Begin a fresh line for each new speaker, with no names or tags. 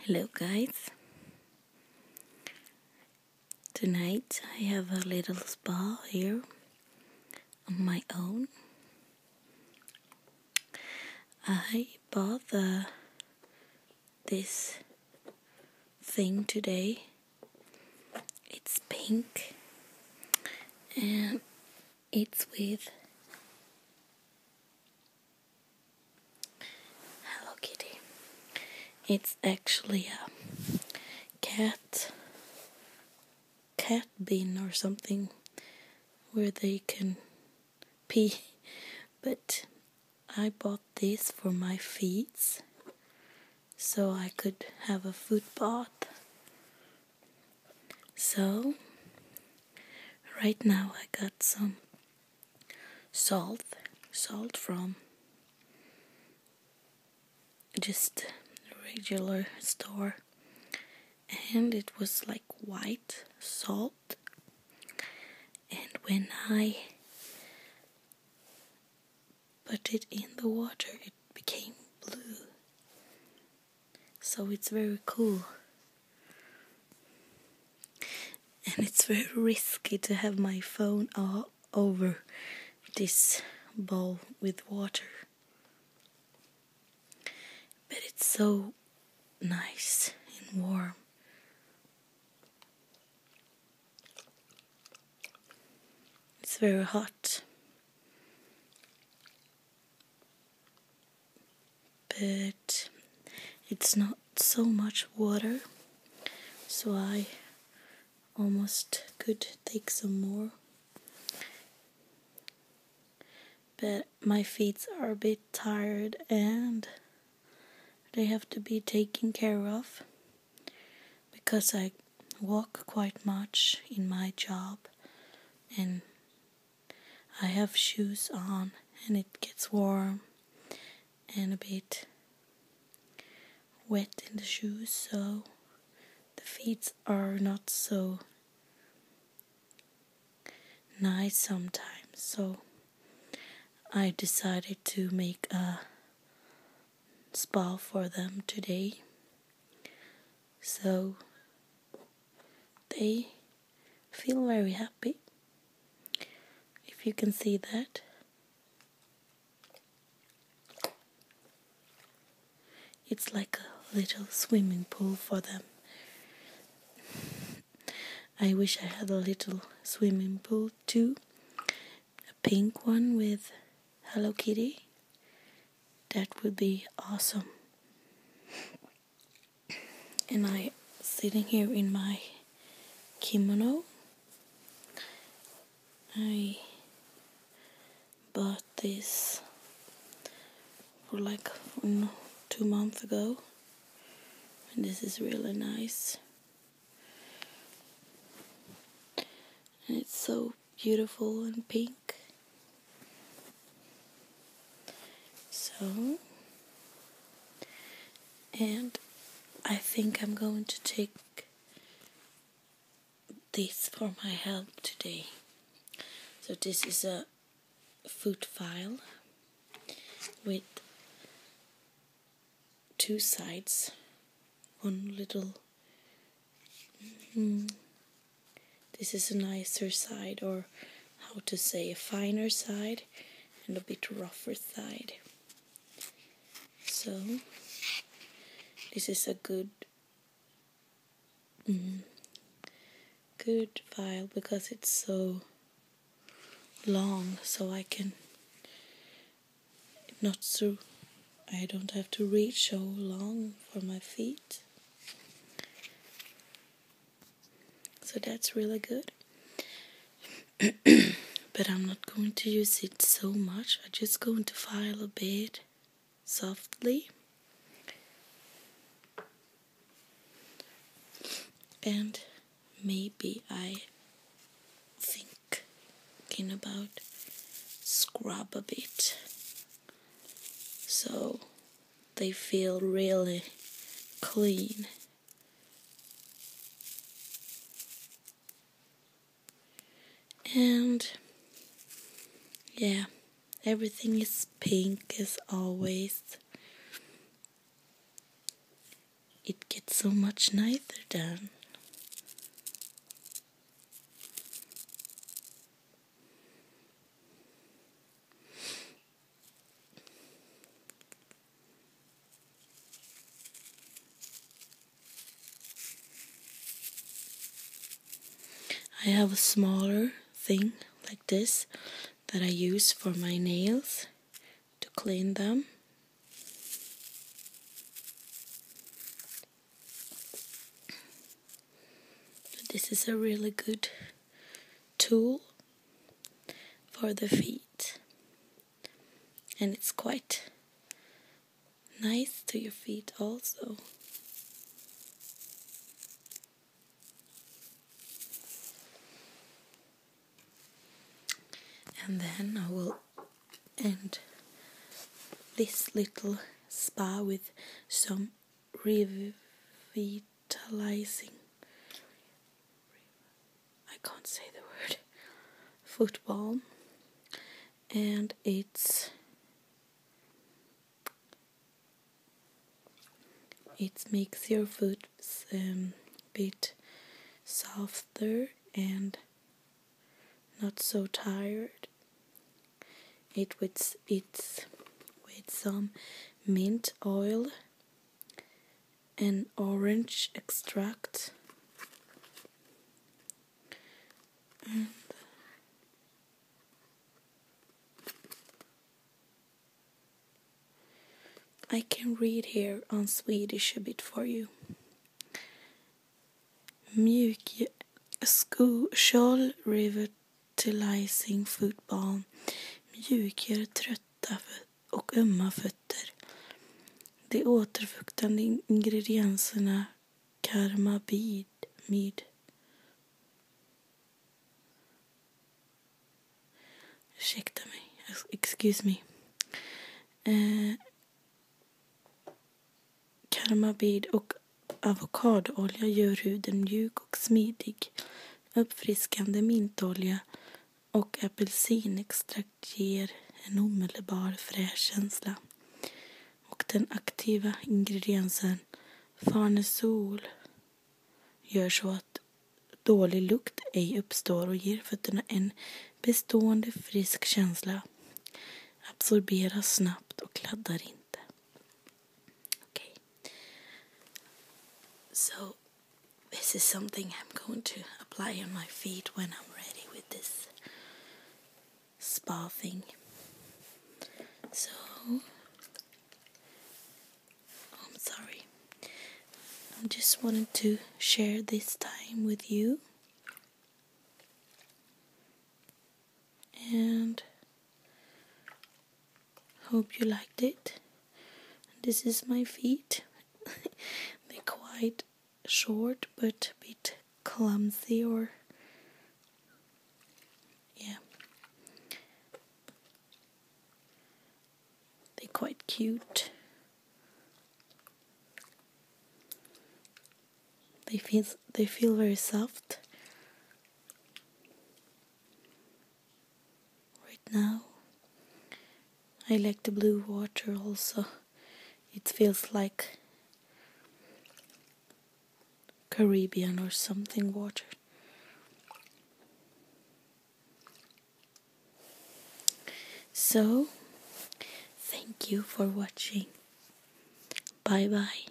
Hello, guys. Tonight I have a little spa here on my own. I bought this thing today. It's pink and it's with Hello Kitty. It's actually a cat cat bin or something where they can pee. But I bought this for my feet so I could have a foot bath. So right now I got some salt salt from just regular store and it was like white salt and when i put it in the water it became blue so it's very cool and it's very risky to have my phone all over this bowl with water. But it's so nice and warm. It's very hot but it's not so much water so I almost could take some more but my feet are a bit tired and they have to be taken care of because I walk quite much in my job and I have shoes on and it gets warm and a bit wet in the shoes, so the feet are not so nice sometimes. So I decided to make a spa for them today. So they feel very happy if you can see that it's like a little swimming pool for them I wish I had a little swimming pool too a pink one with Hello Kitty that would be awesome and I sitting here in my kimono. I bought this for like two months ago, and this is really nice. And it's so beautiful and pink. So, and I think I'm going to take this for my help today. So this is a food file with two sides, one little mm-hmm, this is a nicer side, or how to say, a finer side and a bit rougher side. So, this is a good mm, good file because it's so long, so I can not so I don't have to reach so long for my feet so that's really good but I'm not going to use it so much I'm just going to file a bit softly and maybe I thinking about scrub a bit so they feel really clean. And yeah, everything is pink as always. It gets so much nicer done. I have a smaller thing like this that I use for my nails to clean them this is a really good tool for the feet and it's quite nice to your feet also. And then I will end this little spa with some revit revitalizing. I can't say the word. Football, and it's it makes your food um, bit softer and not so tired it with it with some mint oil and orange extract I can read here on Swedish a bit for you. Mjuk skokjol river fertilizing football, mjukgör trötta och ömma fötter. De återfuktande ingredienserna mid. Ursäkta mig. Excuse me. Eh, karmamid och Avokadoolja gör huden mjuk och smidig. Uppfriskande mintolja och apelsinextrakt ger en omedelbar fräsch känsla. Och den aktiva ingrediensen farnesol gör så att dålig lukt ej uppstår och ger fötterna en bestående frisk känsla. Absorberas snabbt och kladdar inte. Okay. So, this is something I'm going to apply on my feet when I'm ready with this spa thing. So, I'm sorry. I just wanted to share this time with you. And Hope you liked it. This is my feet. They're quite short but a bit clumsy or yeah. They're quite cute. They feel they feel very soft. Right now, I like the blue water also. It feels like Caribbean or something water. So, thank you for watching. Bye bye.